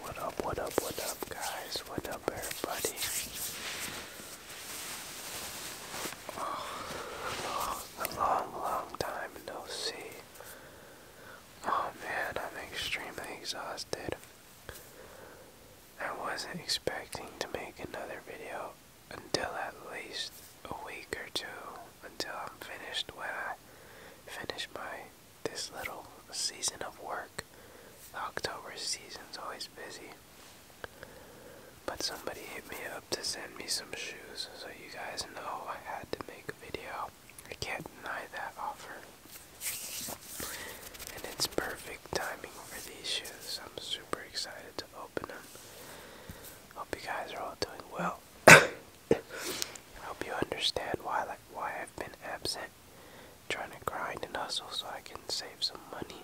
What up, what up, what up, guys? What up, everybody? Oh, a long, long time no see. Oh man, I'm extremely exhausted. I wasn't expecting to make another video until at least a week or two until I'm finished when I finish my this little season of work. The October season's always busy. But somebody hit me up to send me some shoes, so you guys know I had to make a video. I can't deny that offer. And it's perfect timing for these shoes. I'm super excited to open them. Hope you guys are all doing well. I hope you understand why like why I've been absent. Trying to grind and hustle so I can save some money.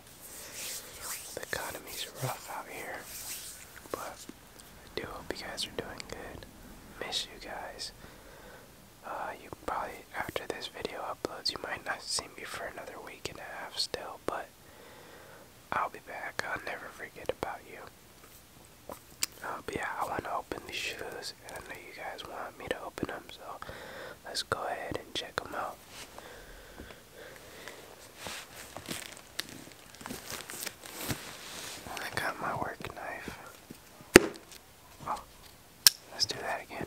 The economy's rough out here, but I do hope you guys are doing good. Miss you guys. Uh, you probably after this video uploads, you might not see me for another week and a half still, but I'll be back. I'll never forget about you. Uh, yeah, I want to open these shoes, and I know you guys want me to open them, so let's go ahead and check them out. I got my work knife. Oh, let's do that again.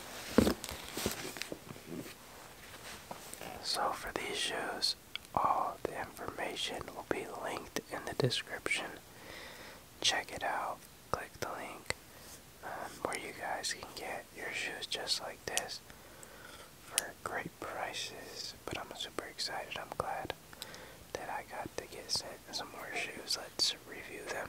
So for these shoes, all the information will be linked in the description. Check it out, click the link um, where you guys can get your shoes just like this for great prices. But I'm super excited, I'm glad that I got to get some more shoes. Let's review them.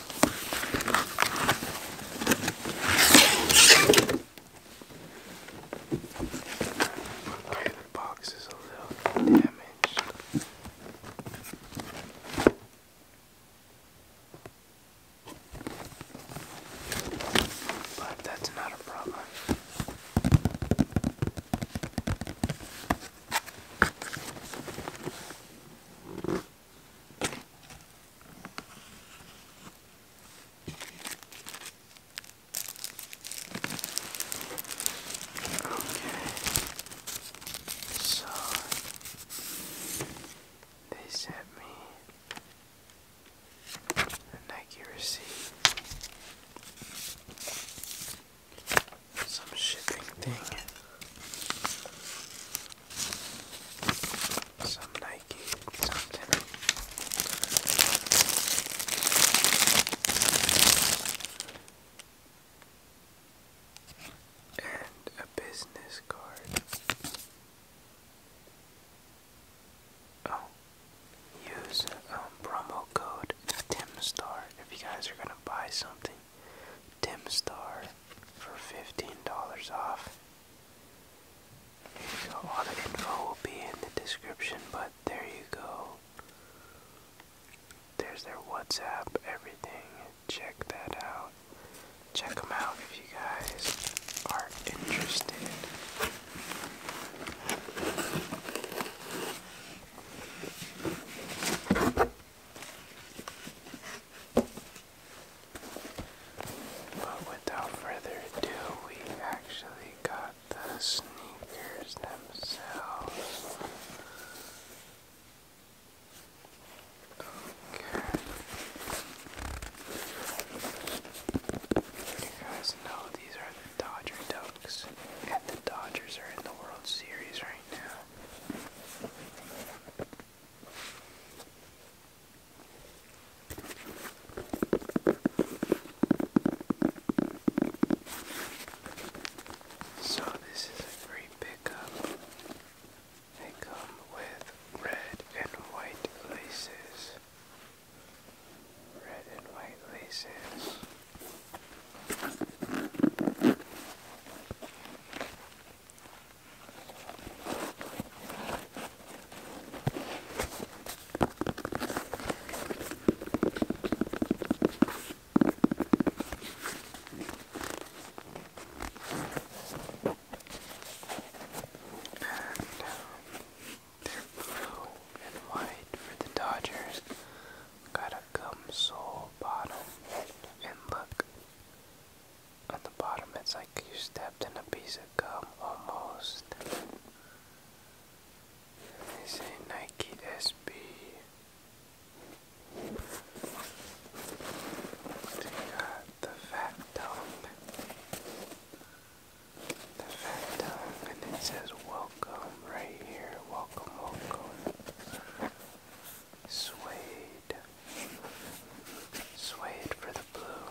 Okay, the box is a little damaged. But that's not a problem. Mm -hmm. So they sent me a Nike some shipping thing. Some Nike something. And a business card. Oh, use um, promo code TimStar if you guys are gonna buy something. Dim Star for $15 off. Here you go. All the info will be in the description, but there you go. There's their WhatsApp, everything. Check that out. Check them out if you guys are interested. But without further ado, we actually got the sneakers themselves. Okay. You guys know these are the Dodger Ducks, and the Dodgers are in the World Series right now. So, this is a great pickup. They come with red and white laces. Red and white laces. And um, they're blue and white for the Dodgers got a gum sole bottom, and look, on the bottom it's like you stepped in a piece of gum almost. This say Nike SB. They got the fat dome the Phantom, and it says welcome right here. Welcome, welcome. Suede. Suede for the blue.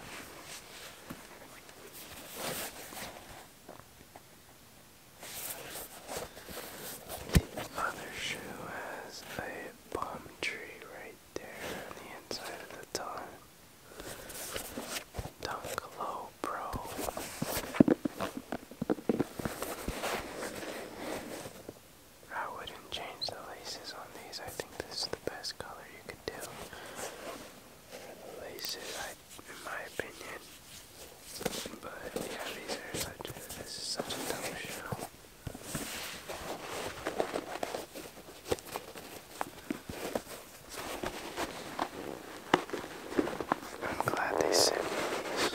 The other shoe has a palm tree right there on the inside of the tongue. Dunk low, bro. I wouldn't change the laces on these. I think this is the best color you could do. laces, I, in my opinion. But yeah, these are such this is such a dumb show. I'm glad they sent these.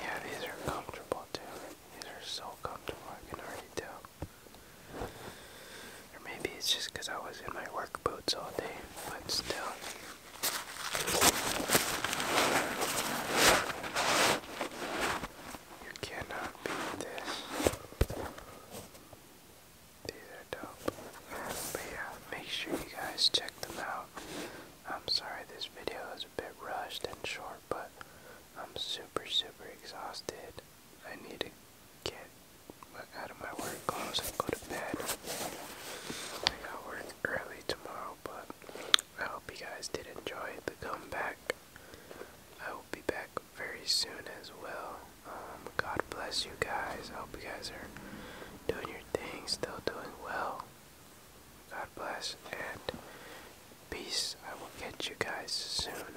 Yeah, these are comfortable too. These are so comfortable, I can already tell. Or maybe it's just because I was in my work boots all day, but still. You cannot beat this. These are dope. But yeah, make sure you guys check them out. I'm sorry this video is a bit rushed and short, but I'm super, super exhausted. I need to get out of my work clothes and go to bed. I got work early tomorrow, but I hope you guys did enjoy the comeback. I will be back very soon as well. Um, God bless you guys. I hope you guys are doing your thing, still doing well. God bless and peace. I will catch you guys soon.